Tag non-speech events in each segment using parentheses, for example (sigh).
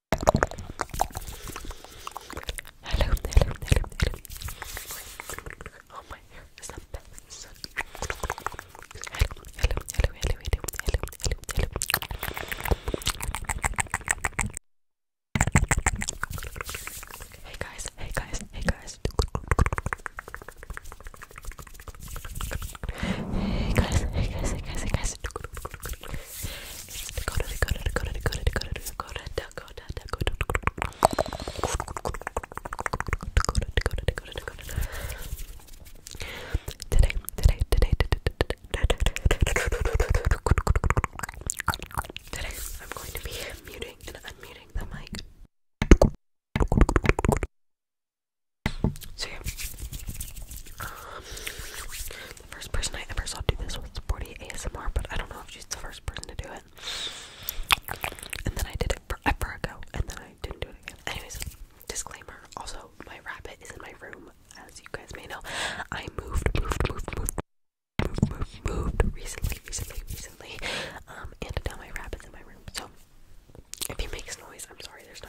Hello, hello, hello, hello. Oh my hair is the best. Hello, hello, hello, hello, hello, hello, hey guys. Hey guys, hey guys, hey guys, hey guys. Hey guys. Today, today, today, today, today, I'm going to be muting and unmuting the mic. See. yeah. The first person I ever saw do this was a Sporty ASMR, but I don't know if she's the first person to do it. And then I did it forever ago, and then I didn't do it again. Anyways, disclaimer. Also, my rabbit is in my room, as you guys may know. I moved, moved, moved, moved, moved, moved, recently, recently, recently. Um, and now my rabbit's in my room. So if he makes noise, I'm sorry. There's no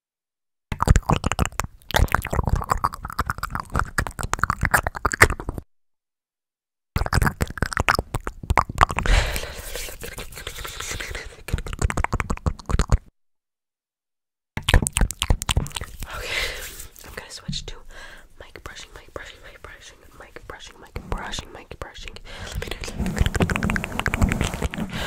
I'm gonna switch to mic brushing, mic brushing, mic brushing, mic brushing, mic brushing, mic brushing. Let me do it.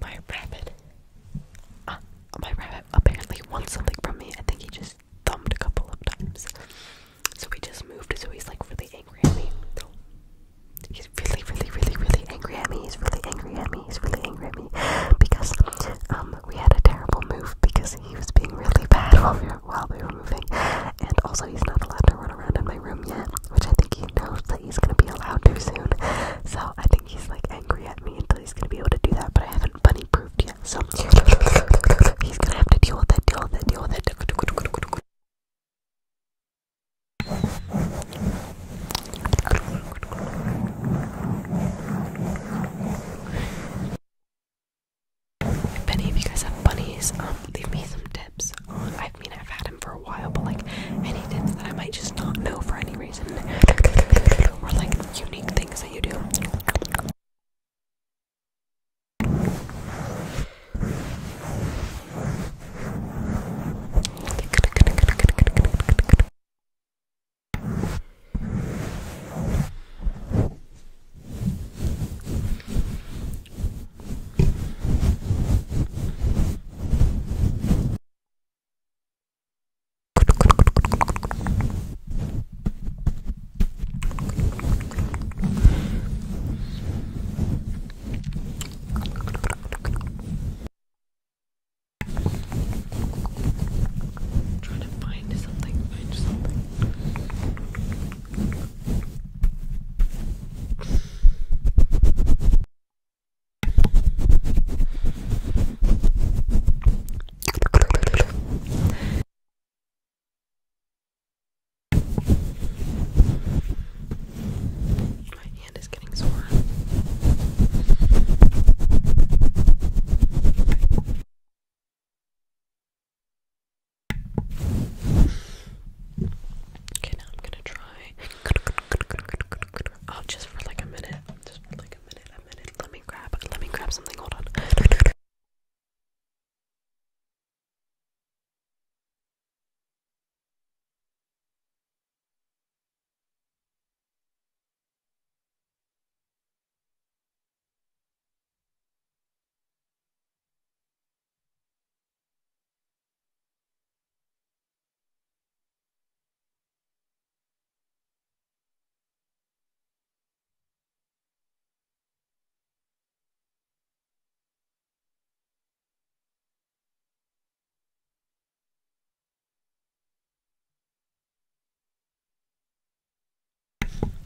My rabbit. Uh, my rabbit apparently wants something from me. I think he just thumbed a couple of times. So he just moved, so he's like really angry at me. He's really, really, really, really angry at me. He's really angry at me. He's really angry at me. Because um, we had a terrible move because he was being really bad (laughs) while we were while we were moving. And also he's not allowed to run around in my room yet, which I think he knows that he's gonna be allowed to soon. So I think he's like angry at me until he's gonna be able to do that, but I haven't bunny proofed yet. So he's gonna have to deal with that, deal with that, deal with that. If any of you guys have bunnies, um, leave me some I mean, I've had him for a while, but like any tips that I might just not know for any reason, or like unique things that you do. I'm trying to find something, find something. My hand is getting sore. Okay, now I'm gonna try Oh, just for like a minute. Just for like a minute, a minute. Let me grab, let me grab something. Hold on.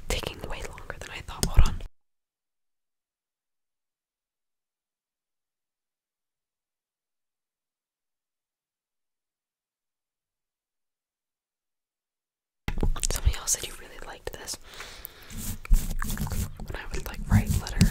Taking way longer than I thought. Hold on. Somebody else said you really liked this. When I would like write letters.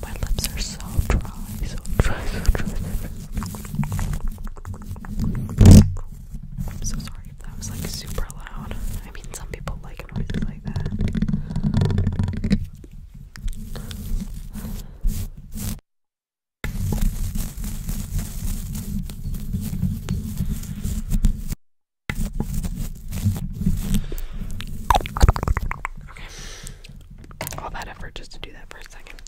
My lips are so dry, so dry, so dry. So dry. I'm so sorry if that was like super loud. I mean, some people like a noise like that. Okay. All that effort just to do that for a second.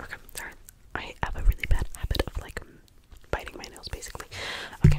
Okay, sorry. I have a really bad habit of like biting my nails basically. Okay.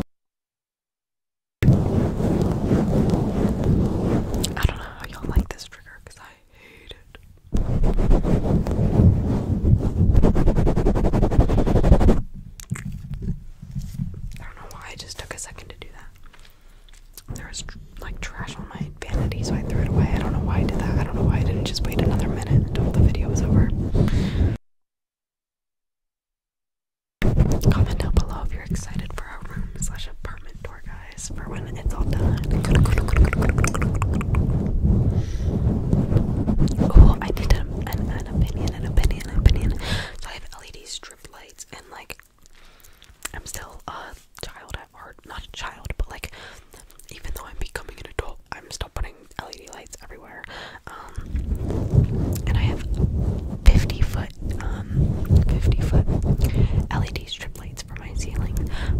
I don't know how y'all like this trigger because I hate it. I don't know why I just took a second to do that. There was like trash on my vanity, so I threw it away. I don't know why I did that. I don't know why I didn't just wait another minute until the video was over. Comment down below if you're excited for our room slash apartment tour, guys, for when it's all done. Oh, I did an, opinion, an opinion, an opinion. So I have LED strip lights, and like, I'm still a child at heart. Not a child, but like, even though I'm becoming an adult, I'm still putting LED lights everywhere. Um, and I have 50 foot, um, 50 foot LED strip lights for my ceiling,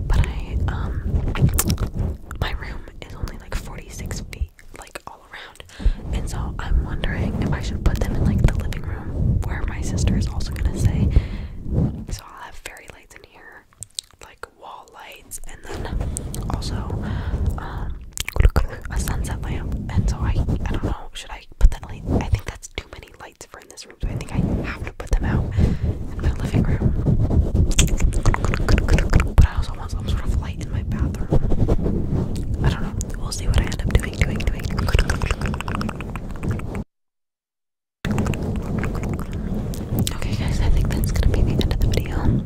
but I, um, my room is only like 46 feet, like all around. And so I'm wondering if I should put them in like the living room where my sister is also gonna say. So I'll have fairy lights in here, like wall light and then also um, a sunset lamp and so I I don't know should I put that light I think that's too many lights for in this room so I think I have to put them out in my living room but I also want some sort of light in my bathroom I don't know we'll see what I end up doing doing doing okay guys I think that's gonna be the end of the video